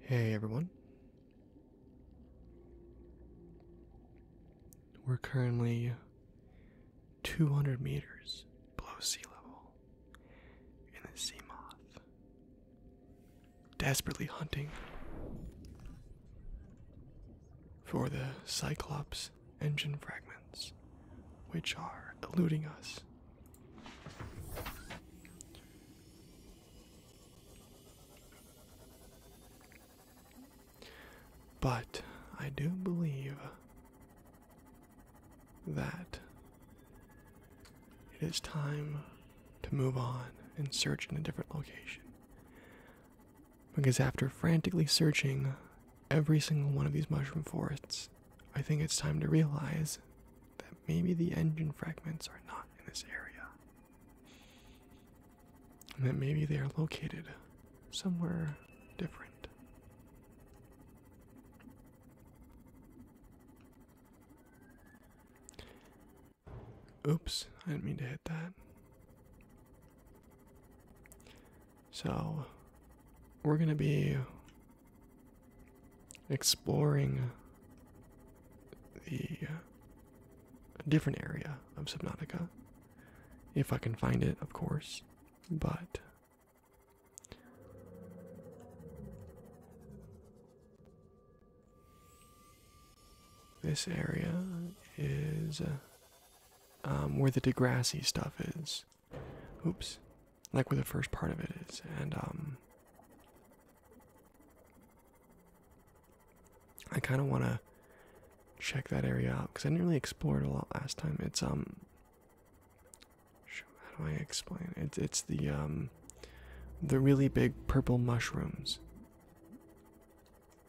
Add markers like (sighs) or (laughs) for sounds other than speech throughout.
Hey everyone. We're currently 200 meters below sea level in the sea moth, desperately hunting for the Cyclops engine fragments, which are eluding us. But I do believe that it is time to move on and search in a different location. Because after frantically searching every single one of these mushroom forests, I think it's time to realize that maybe the engine fragments are not in this area. And that maybe they are located somewhere different. Oops, I didn't mean to hit that. So, we're going to be exploring the uh, different area of Subnautica. If I can find it, of course, but this area is uh, um, where the Degrassi stuff is. Oops. Like where the first part of it is. And, um,. I kind of want to check that area out because I didn't really explore it a lot last time. It's um, how do I explain? It's it's the um, the really big purple mushrooms.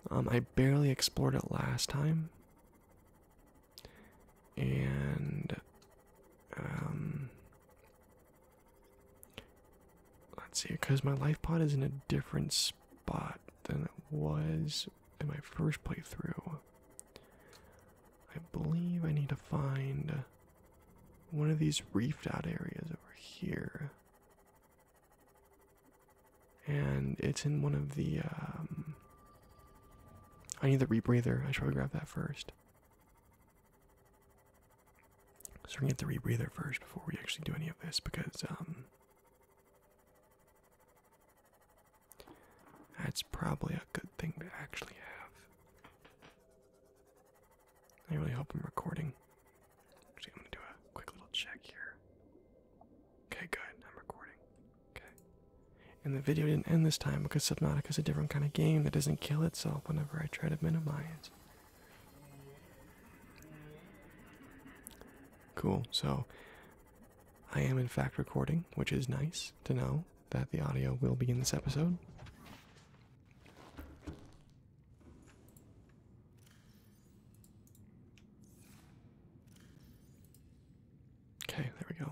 Um, I barely explored it last time and um, let's see because my life pod is in a different spot than it was in my first playthrough i believe i need to find one of these reefed out areas over here and it's in one of the um, I need the rebreather. I should grab that first. So we're gonna get the rebreather first before we actually do any of this because um that's probably a good thing to actually have. I really hope I'm recording. Actually, I'm gonna do a quick little check here. Okay, good. I'm recording. Okay. And the video didn't end this time because Subnautica is a different kind of game that doesn't kill itself whenever I try to minimize Cool, so I am in fact recording, which is nice to know that the audio will be in this episode. Okay, there we go.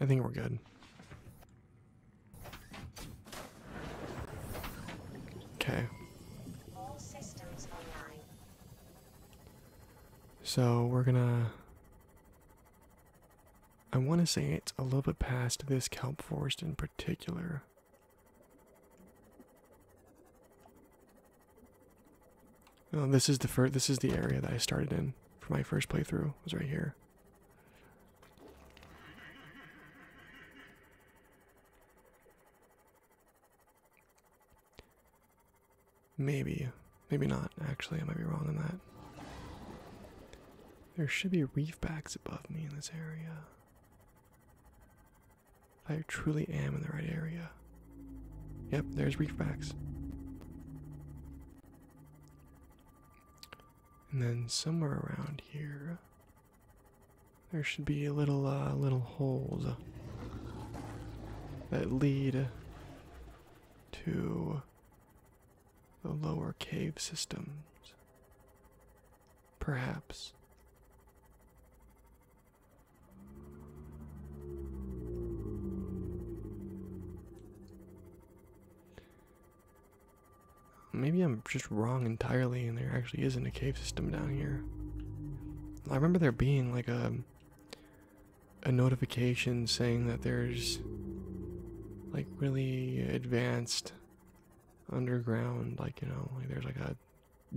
I think we're good. Okay. So we're gonna. I want to say it's a little bit past this kelp forest in particular this is the first. This is the area that I started in for my first playthrough. Was right here. Maybe, maybe not. Actually, I might be wrong in that. There should be reef backs above me in this area. I truly am in the right area. Yep, there's reef backs. And then somewhere around here, there should be a little uh, little holes that lead to the lower cave systems. Perhaps. Maybe I'm just wrong entirely and there actually isn't a cave system down here. I remember there being like a a notification saying that there's like really advanced underground like you know like there's like a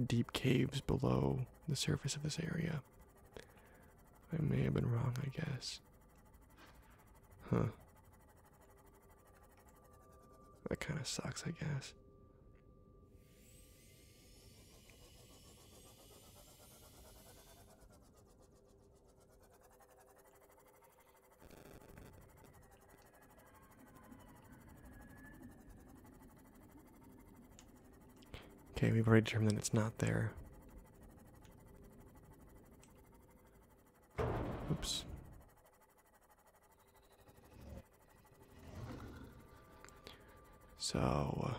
deep caves below the surface of this area I may have been wrong, I guess. Huh. That kind of sucks, I guess. Okay, we've already determined that it's not there. Oops. So. Uh,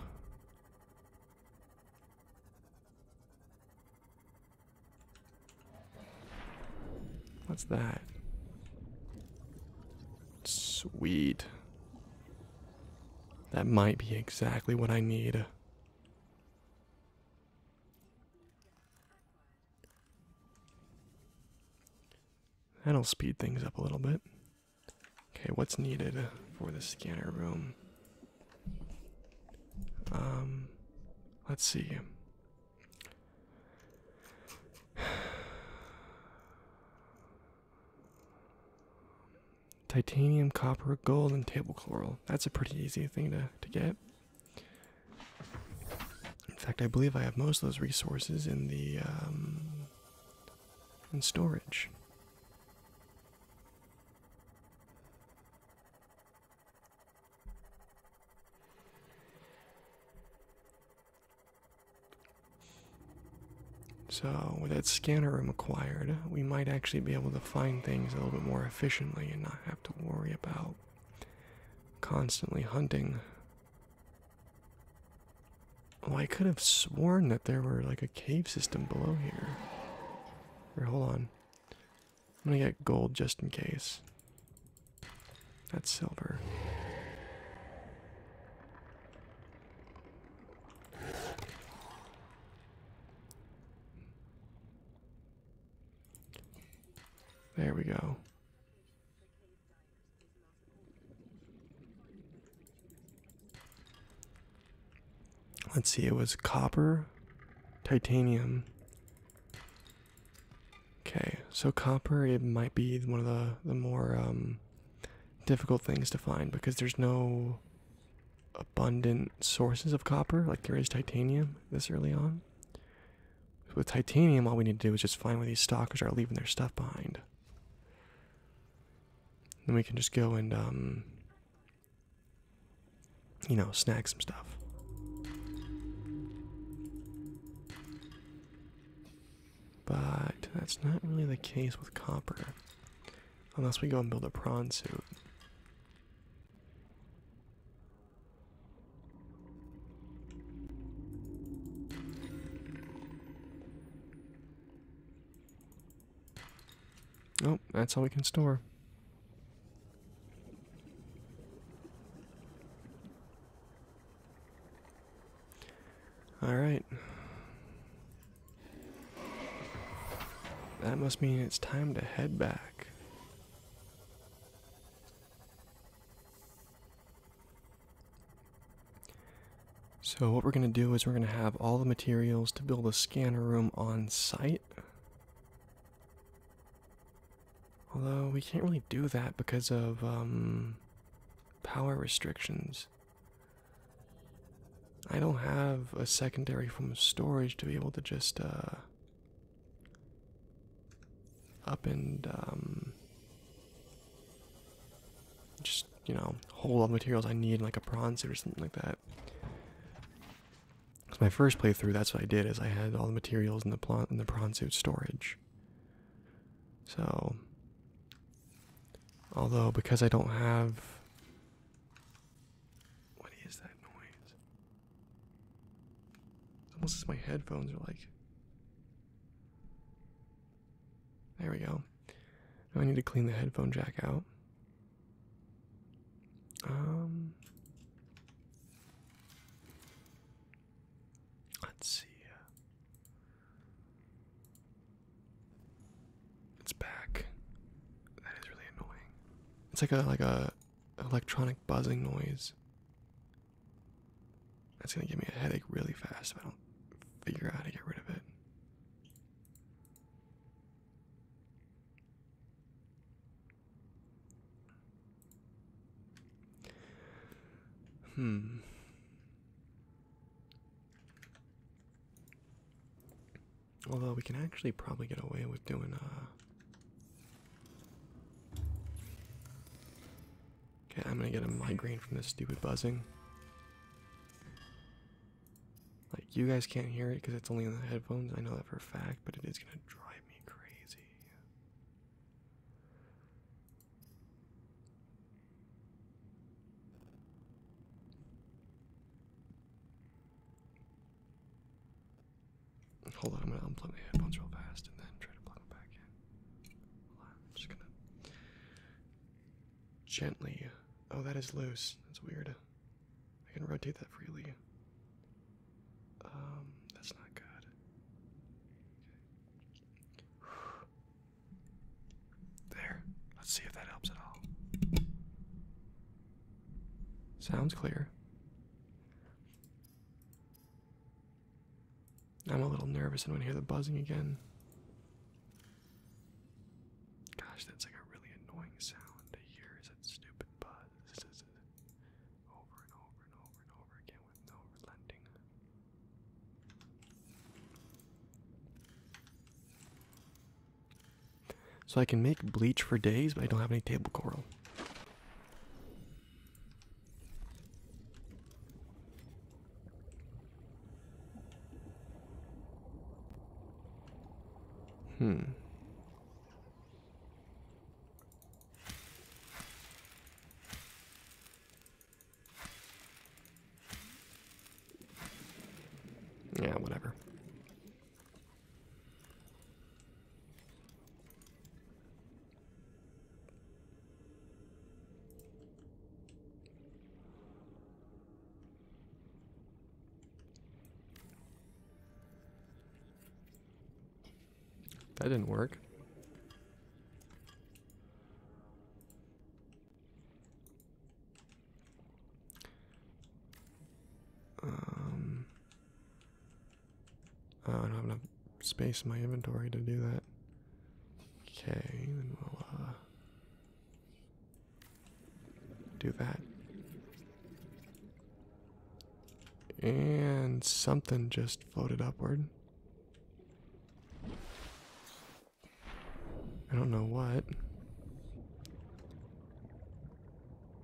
what's that? Sweet. That might be exactly what I need. That'll speed things up a little bit. Okay, what's needed for the scanner room? Um, let's see titanium, copper, gold, and table coral. That's a pretty easy thing to, to get. In fact, I believe I have most of those resources in the um, in storage. So, with that scanner room acquired, we might actually be able to find things a little bit more efficiently and not have to worry about constantly hunting. Well, I could have sworn that there were like a cave system below here. Here, hold on. I'm gonna get gold just in case. That's silver. There we go. Let's see, it was copper, titanium. Okay, so copper, it might be one of the, the more um, difficult things to find because there's no abundant sources of copper like there is titanium this early on. With titanium, all we need to do is just find where these stalkers are leaving their stuff behind. Then we can just go and, um, you know, snag some stuff. But that's not really the case with copper. Unless we go and build a prawn suit. Oh, that's all we can store. All right. That must mean it's time to head back. So, what we're going to do is we're going to have all the materials to build a scanner room on site. Although, we can't really do that because of um, power restrictions. I don't have a secondary form of storage to be able to just uh, up and um, just you know hold all the materials I need in like a bronze or something like that. Because my first playthrough, that's what I did, is I had all the materials in the plant in the prawn suit storage. So, although because I don't have what is that noise? It's almost as my headphones are like. There we go. Now I need to clean the headphone jack out. Um. Let's see. Uh, it's back. That is really annoying. It's like a like a electronic buzzing noise. That's gonna give me a headache really fast if I don't figure out how to get rid of it. Hmm. Although we can actually probably get away with doing a. Uh, okay, I'm gonna get a migraine from this stupid buzzing. Like you guys can't hear it because it's only in the headphones. I know that for a fact, but it is gonna drive me crazy. Hold on, I'm gonna unplug my headphones real fast and then try to plug them back in. I'm just gonna gently. Oh, that is loose. That's weird. I can rotate that freely. Um, that's not good. (sighs) There. Let's see if that helps at all. Sounds clear. I'm a little nervous when I hear the buzzing again. Gosh, that's like a really annoying sound to hear. Is that stupid buzz? Over and over and over and over again with no relenting. So I can make bleach for days, but I don't have any table coral. Hmm. Yeah, whatever. That didn't work. Um, I don't have enough space in my inventory to do that. Okay, then we'll uh, do that. And something just floated upward. I don't know what.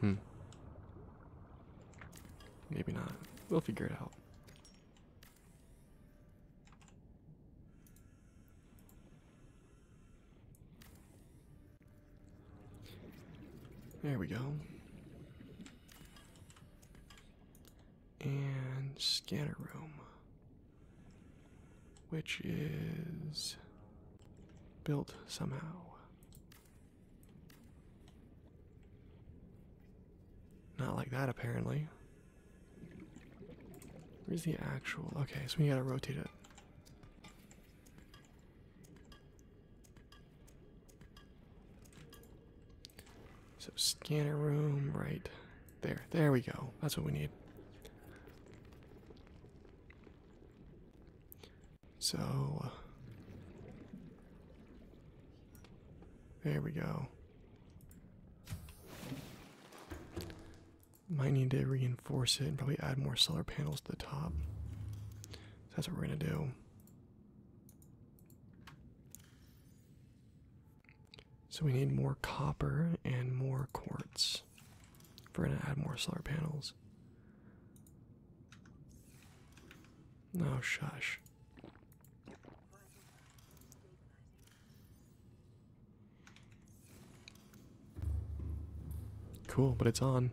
Hmm. Maybe not. We'll figure it out. There we go. And scanner room which is built somehow. Not like that, apparently. Where's the actual? Okay, so we gotta rotate it. So, scanner room, right there, there we go. That's what we need. So, there we go. Might need to reinforce it and probably add more solar panels to the top. that's what we're going to do. So we need more copper and more quartz. If we're gonna add more solar panels. No shush. Cool, but it's on.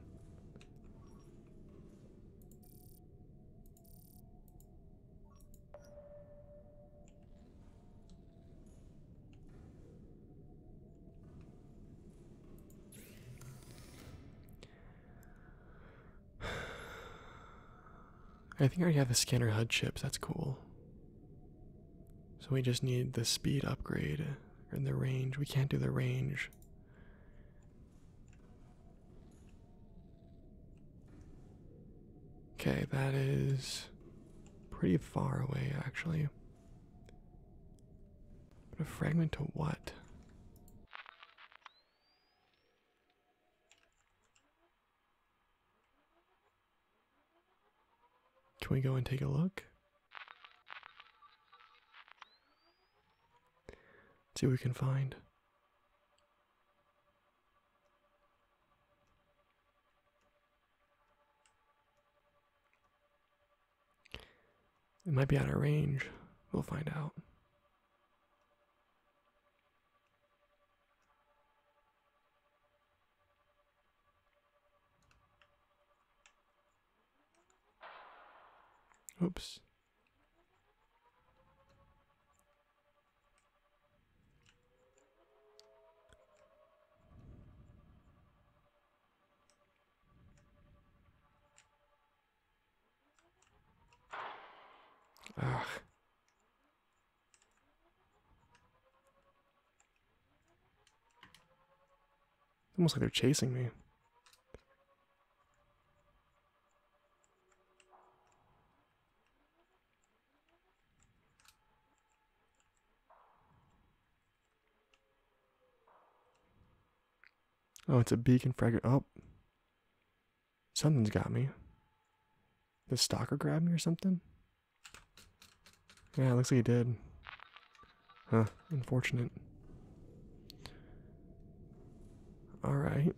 I think I already have the scanner HUD chips, that's cool. So we just need the speed upgrade and the range. We can't do the range. Okay, that is pretty far away, actually. a fragment to what? Can we go and take a look? see what we can find. It might be out of range. We'll find out. Oops. Ugh. Almost like they're chasing me. Oh, it's a beacon fragment. Oh. Something's got me. Did stalker grab me or something? Yeah, looks like he did. Huh, unfortunate. Alright.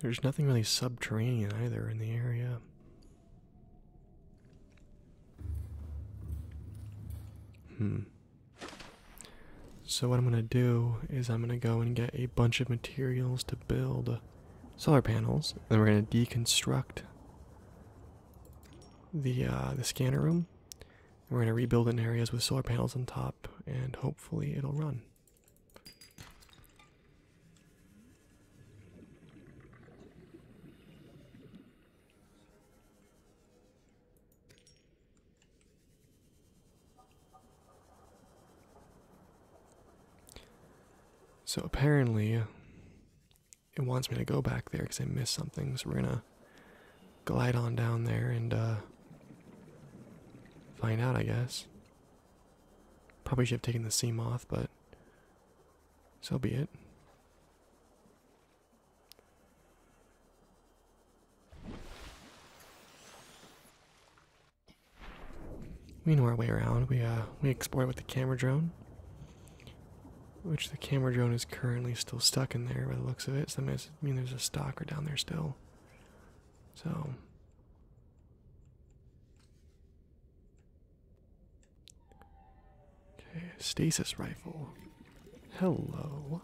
There's nothing really subterranean either in the area. Hmm. So, what I'm going to do is, I'm going to go and get a bunch of materials to build solar panels, and we're going to deconstruct the uh, the scanner room we're going to rebuild in areas with solar panels on top, and hopefully it'll run. So apparently, it wants me to go back there because I missed something, so we're going to glide on down there and uh, find out, I guess. Probably should have taken the sea moth, but so be it. We know our way around. We uh we explored with the camera drone, which the camera drone is currently still stuck in there by the looks of it. So that means I mean, there's a stalker down there still. So. Okay, stasis rifle. Hello.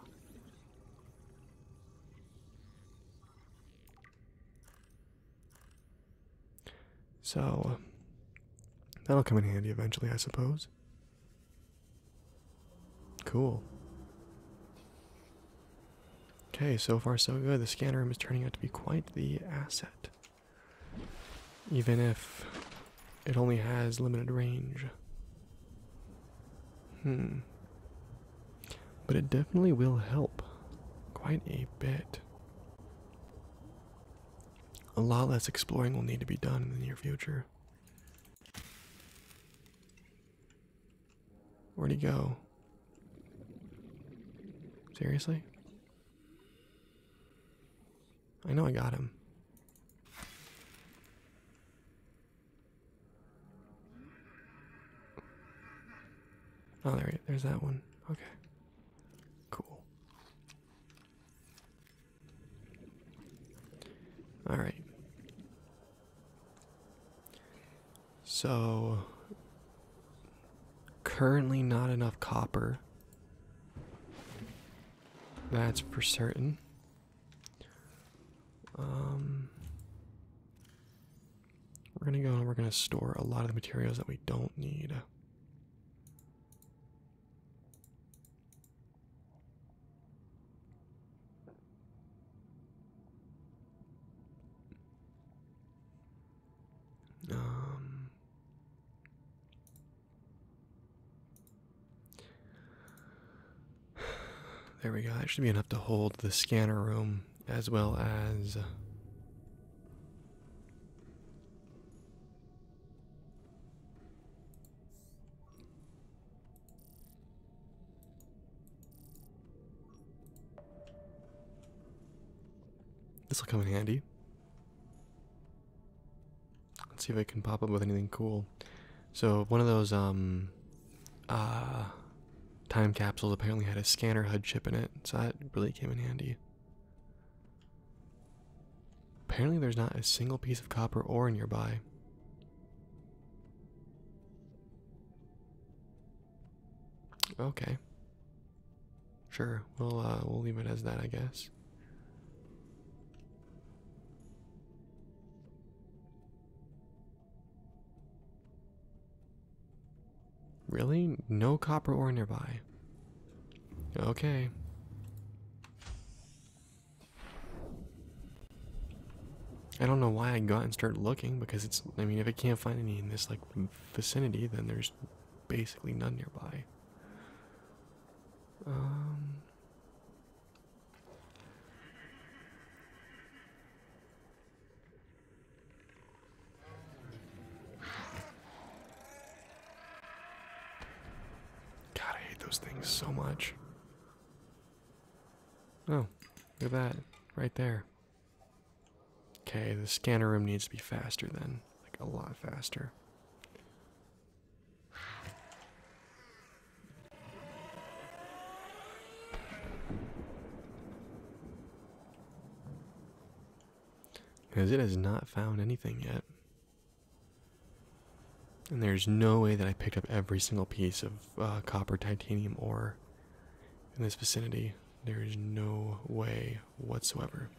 So, that'll come in handy eventually, I suppose. Cool. Okay, so far so good. The scanner room is turning out to be quite the asset. Even if it only has limited range. Hmm. But it definitely will help quite a bit. A lot less exploring will need to be done in the near future. Where'd he go? Seriously? I know I got him. Oh, there, there's that one. Okay. Cool. Alright. So, currently not enough copper. That's for certain. Um, we're going to go and we're going to store a lot of the materials that we don't need. Um, there we go. That should be enough to hold the scanner room as well as. Uh, this will come in handy. Let's see if I can pop up with anything cool. So one of those um, uh, time capsules apparently had a scanner HUD chip in it, so that really came in handy. Apparently, there's not a single piece of copper ore nearby. Okay. Sure, we'll uh, we'll leave it as that, I guess. Really? No copper ore nearby. Okay. I don't know why I got and started looking because it's, I mean, if I can't find any in this like vicinity, then there's basically none nearby. Um, God, I hate those things so much. Oh, look at that. Right there. Okay, the scanner room needs to be faster then. Like, a lot faster. Because it has not found anything yet. And there's no way that I picked up every single piece of uh, copper, titanium ore in this vicinity. There is no way whatsoever.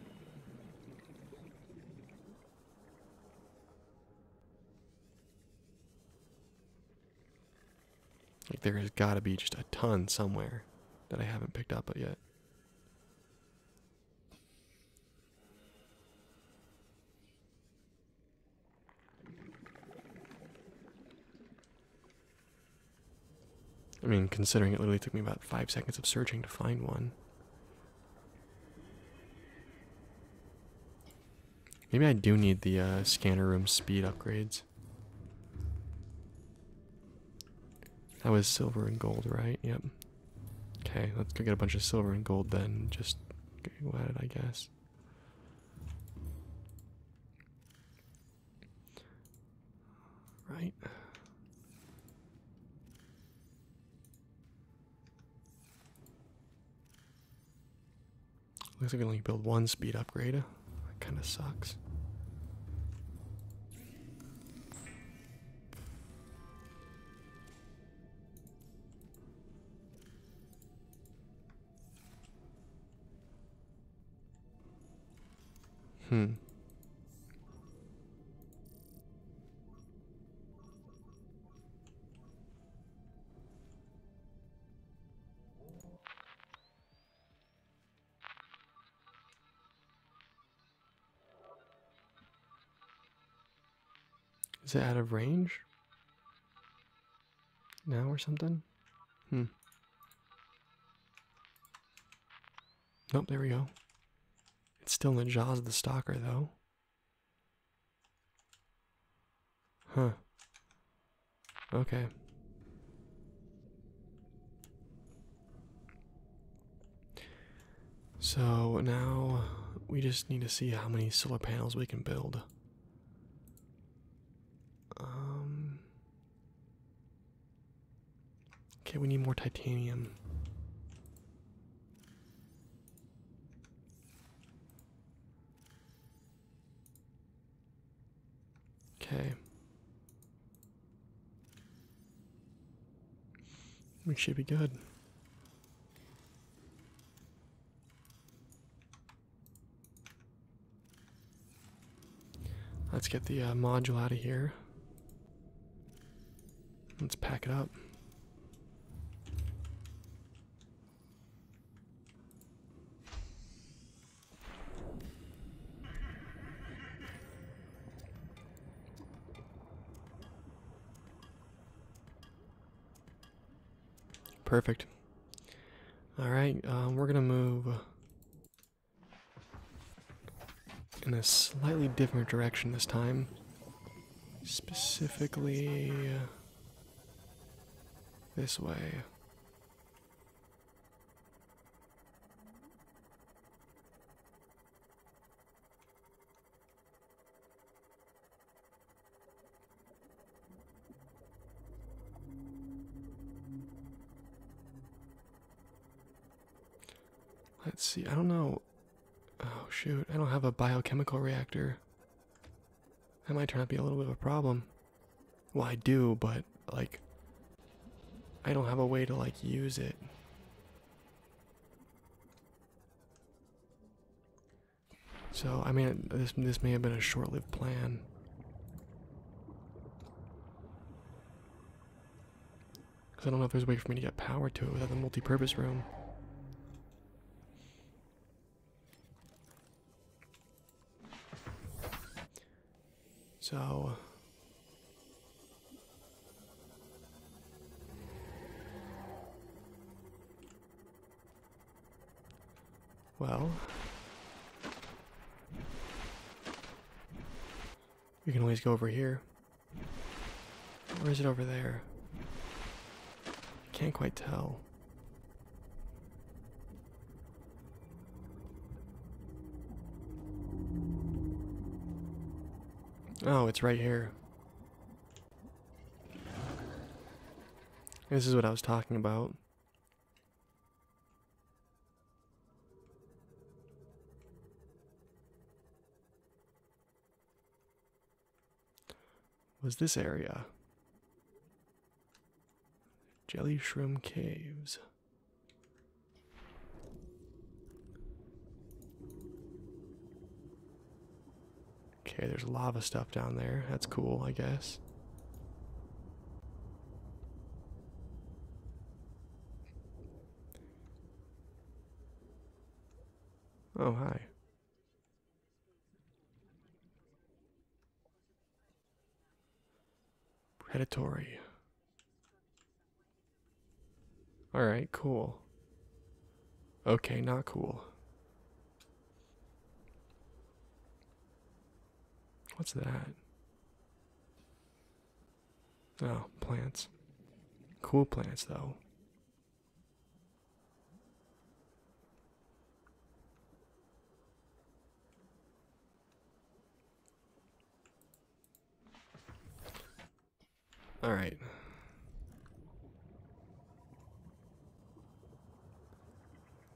Like, there has got to be just a ton somewhere that I haven't picked up yet. I mean, considering it literally took me about five seconds of searching to find one. Maybe I do need the uh, scanner room speed upgrades. That was silver and gold, right? Yep. Okay, let's go get a bunch of silver and gold then. Just go at it, I guess. Right. Looks like we only build one speed upgrade. That kind of sucks. Hmm. Is it out of range? now or something? Hmm. Nope, there we go. It's still in the jaws of the stalker, though. Huh. Okay. So now we just need to see how many solar panels we can build. Um. Okay, we need more titanium. Okay. We should be good. Let's get the uh, module out of here. Let's pack it up. Perfect. All right, um, we're gonna move in a slightly different direction this time. Specifically, this way. Let's see. I don't know. Oh shoot! I don't have a biochemical reactor. That might turn out to be a little bit of a problem. Well, I do, but like, I don't have a way to like use it. So, I mean, this, this may have been a short lived plan. Because I don't know if there's a way for me to get power to it without the multi purpose room. So. Well, you can always go over here. Or is it over there? I can't quite tell. Oh, it's right here. This is what I was talking about. Was this area? Jelly Shroom Caves. Okay, there's lava stuff down there. That's cool, I guess. Oh, hi. Predatory. Alright, cool. Okay, not cool. What's that? Oh, plants. Cool plants, though. All right.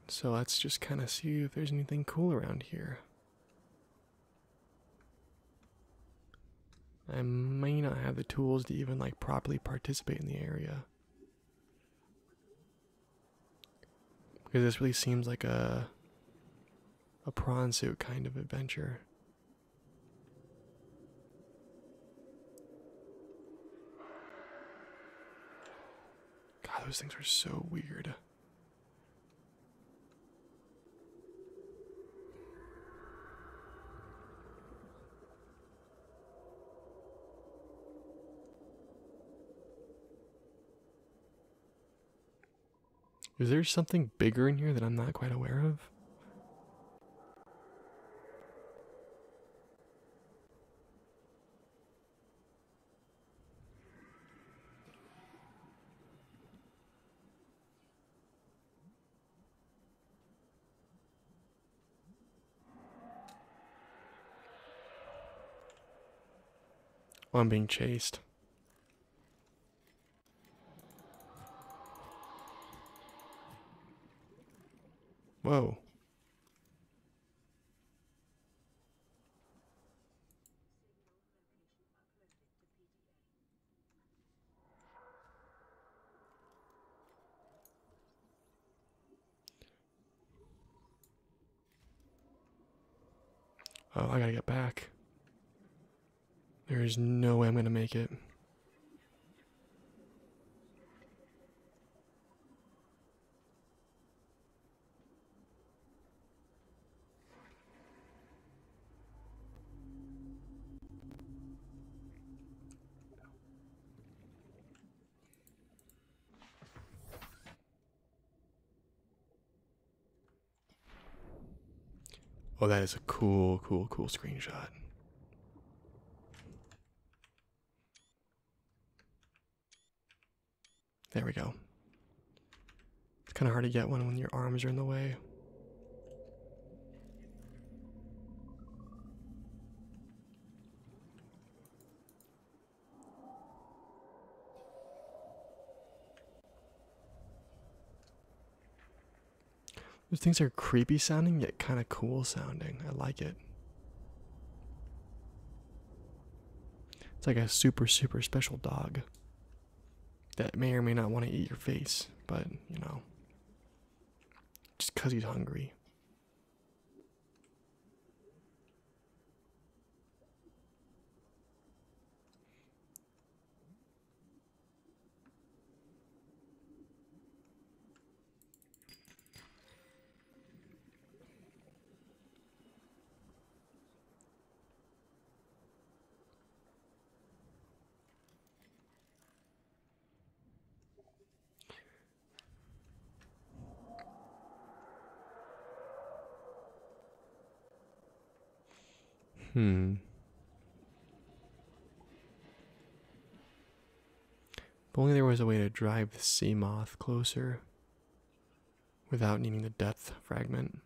So let's just kind of see if there's anything cool around here. I may not have the tools to even like properly participate in the area. Because this really seems like a a prawn suit kind of adventure. God, those things are so weird. Is there something bigger in here that I'm not quite aware of? I'm being chased. Whoa. Oh, I gotta get back. There is no way I'm gonna make it. Oh, that is a cool, cool, cool screenshot. There we go. It's kind of hard to get one when your arms are in the way. Those things are creepy sounding yet kind of cool sounding. I like it. It's like a super, super special dog that may or may not want to eat your face, but you know, just because he's hungry. Hmm. If only there was a way to drive the sea moth closer without needing the depth fragment.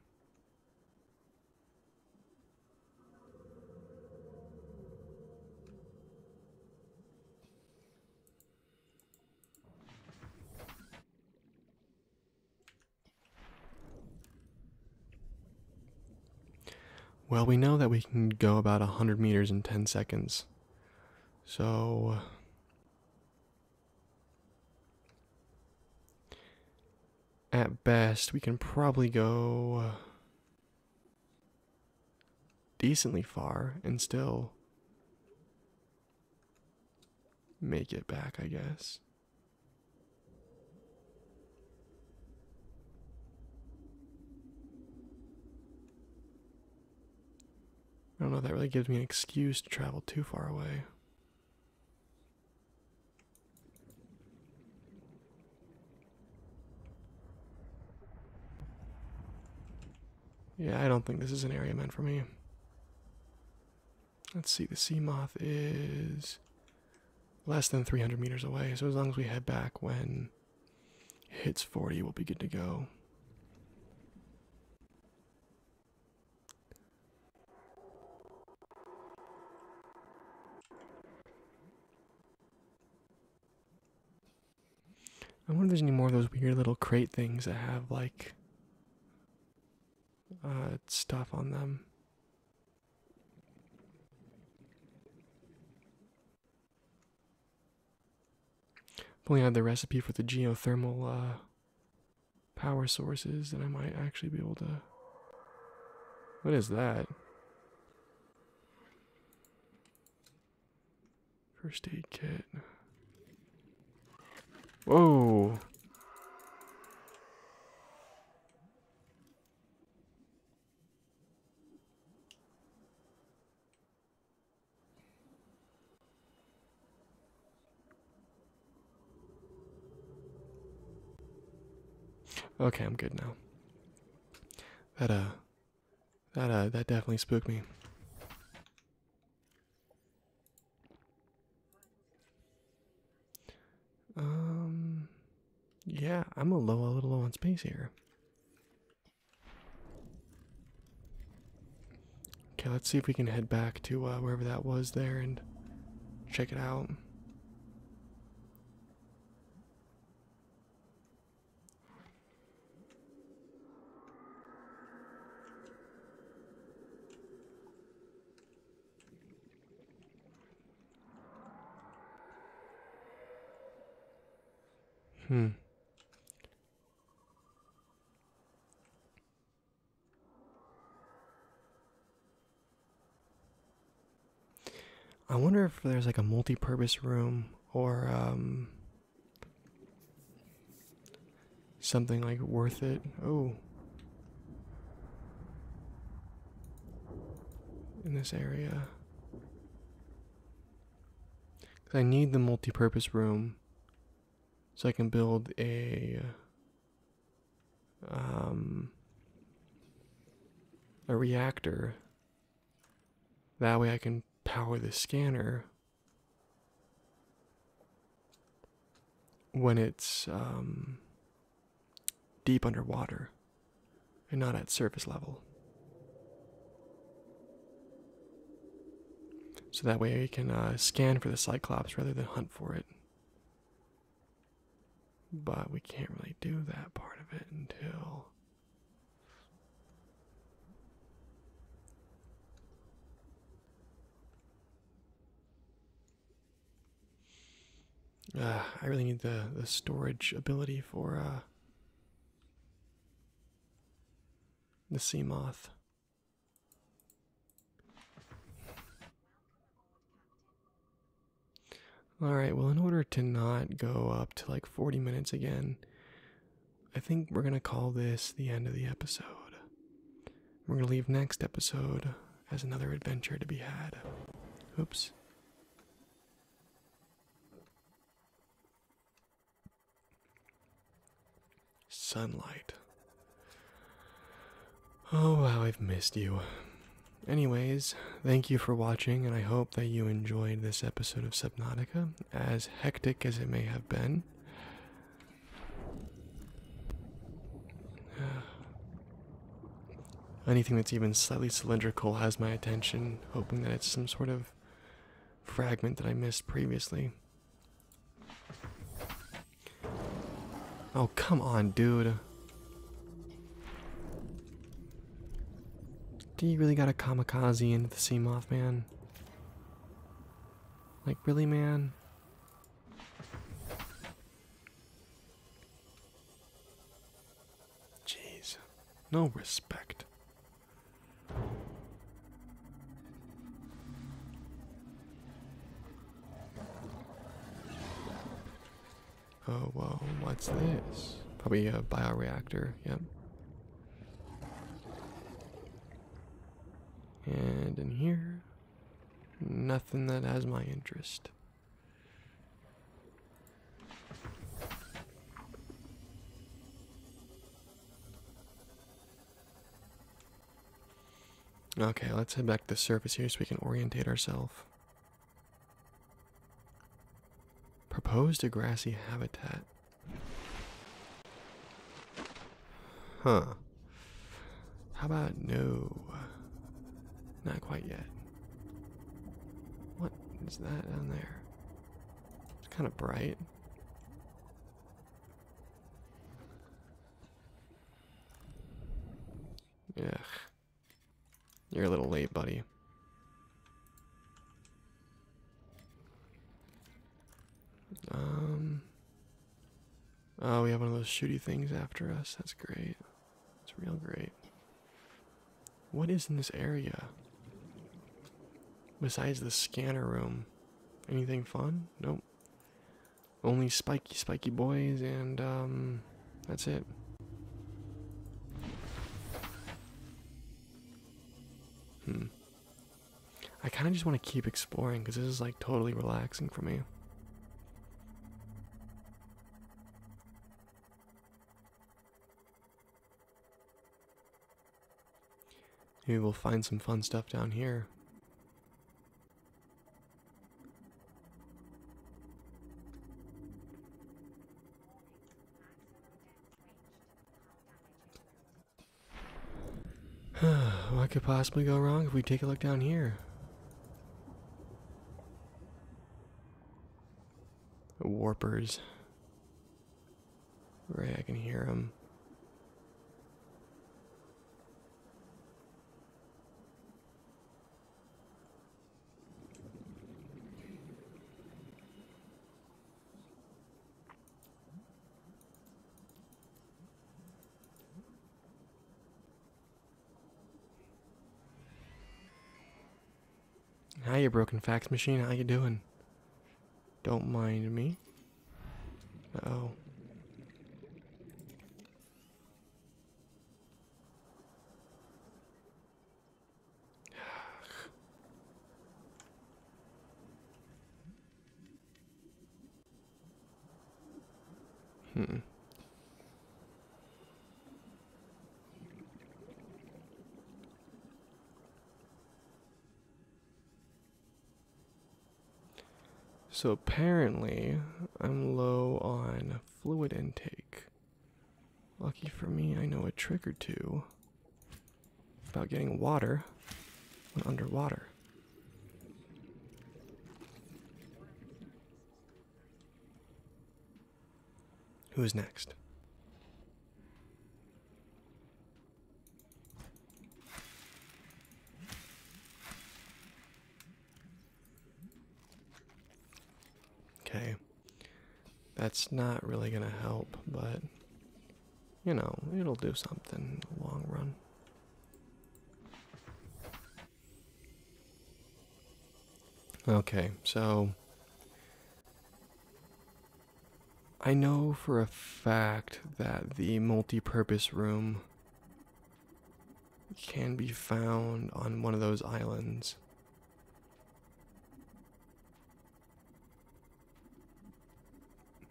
Well, we know that we can go about 100 meters in 10 seconds. So at best, we can probably go decently far and still make it back, I guess. I don't know if that really gives me an excuse to travel too far away. Yeah, I don't think this is an area meant for me. Let's see, the sea moth is less than 300 meters away, so as long as we head back when it hits 40, we'll be good to go. I wonder if there's any more of those weird little crate things that have like uh, stuff on them. Pulling out the recipe for the geothermal uh, power sources, then I might actually be able to. What is that? First aid kit. Whoa! Okay, I'm good now. That uh that uh that definitely spooked me. Um yeah, I'm a low a little low on space here. Okay, let's see if we can head back to uh, wherever that was there and check it out. Hmm. I wonder if there's like a multi-purpose room or um, something like worth it. Oh. In this area. Cuz I need the multi-purpose room so I can build a um, a reactor. That way I can power the scanner when it's um, deep underwater and not at surface level. So that way we can uh, scan for the Cyclops rather than hunt for it. But we can't really do that part of it until. Ah, I really need the, the storage ability for uh, the sea moth. Alright, well, in order to not go up to like 40 minutes again, I think we're going to call this the end of the episode. We're going to leave next episode as another adventure to be had. Oops. Sunlight. Oh, how I've missed you. Anyways, thank you for watching, and I hope that you enjoyed this episode of Subnautica, as hectic as it may have been. (sighs) Anything that's even slightly cylindrical has my attention, hoping that it's some sort of fragment that I missed previously. Oh, come on, dude. Do you really got a kamikaze into the sea moth, man? Like, really, man? Jeez. No respect. Oh, whoa, what's this? Probably a bioreactor, yep. And in here, nothing that has my interest. Okay, let's head back to the surface here so we can orientate ourselves. Proposed a grassy habitat. Huh. How about no? Not quite yet. What is that down there? It's kind of bright. Ugh. You're a little late, buddy. Um. Oh, we have one of those shooty things after us. That's great. It's real great. What is in this area? Besides the scanner room, anything fun? Nope. Only spiky, spiky boys, and um, that's it. Hmm. I kind of just want to keep exploring because this is like totally relaxing for me. Maybe we'll find some fun stuff down here. (sighs) what could possibly go wrong if we take a look down here? Warpers. Right, I can hear them. Hi, you broken fax machine. How you doing? Don't mind me. Uh oh. hmm. So apparently, I'm low on fluid intake. Lucky for me, I know a trick or two about getting water when underwater. Who is next? Okay. That's not really going to help, but you know, it'll do something in the long run. Okay, so I know for a a fact that the multi-purpose room can be found on one of those islands.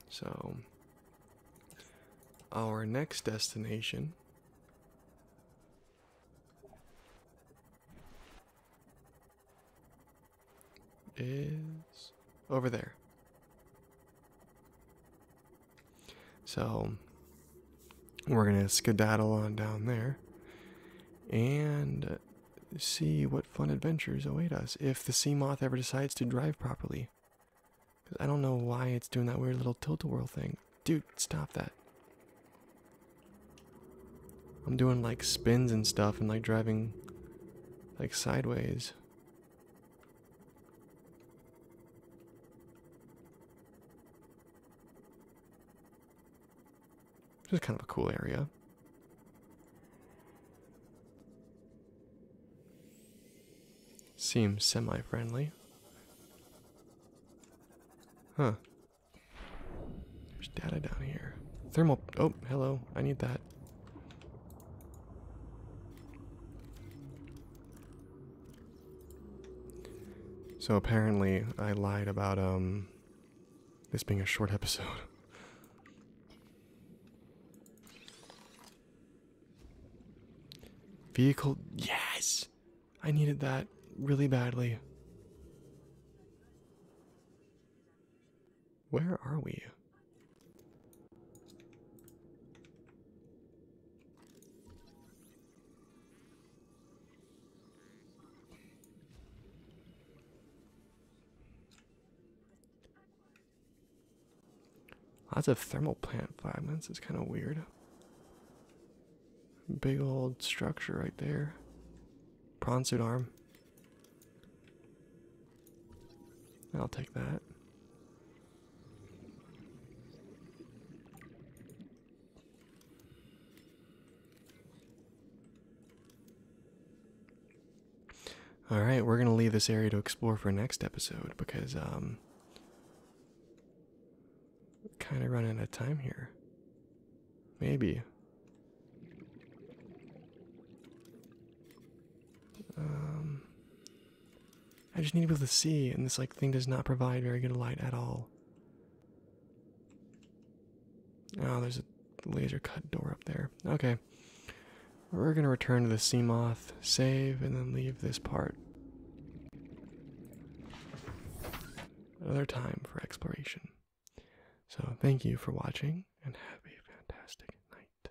So, our next destination is over there. So we're going to skedaddle on down there and see what fun adventures await us if the sea moth ever decides to drive properly. I don't know why it's doing that weird little tilt a whirl thing. Dude, stop that. I'm doing like spins and stuff and like driving like sideways. This is kind of a cool area. Seems semi-friendly. Huh. There's data down here. Thermal, oh, hello, I need that. So apparently, I lied about um, this being a short episode. (laughs) Vehicle, yes! I needed that really badly. Where are we? Lots of thermal plant fragments. It's kind of weird. Big old structure right there. Prawn suit arm. I'll take that. All right, we're going to leave this area to explore for next episode because um kind of running out of time here. Maybe. Um I just need to be able to see, and this like thing does not provide very good light at all. Oh, there's a laser cut door up there. Okay. We're gonna return to the sea moth, save, and then leave this part. Another time for exploration. So, thank you for watching, and have a fantastic night.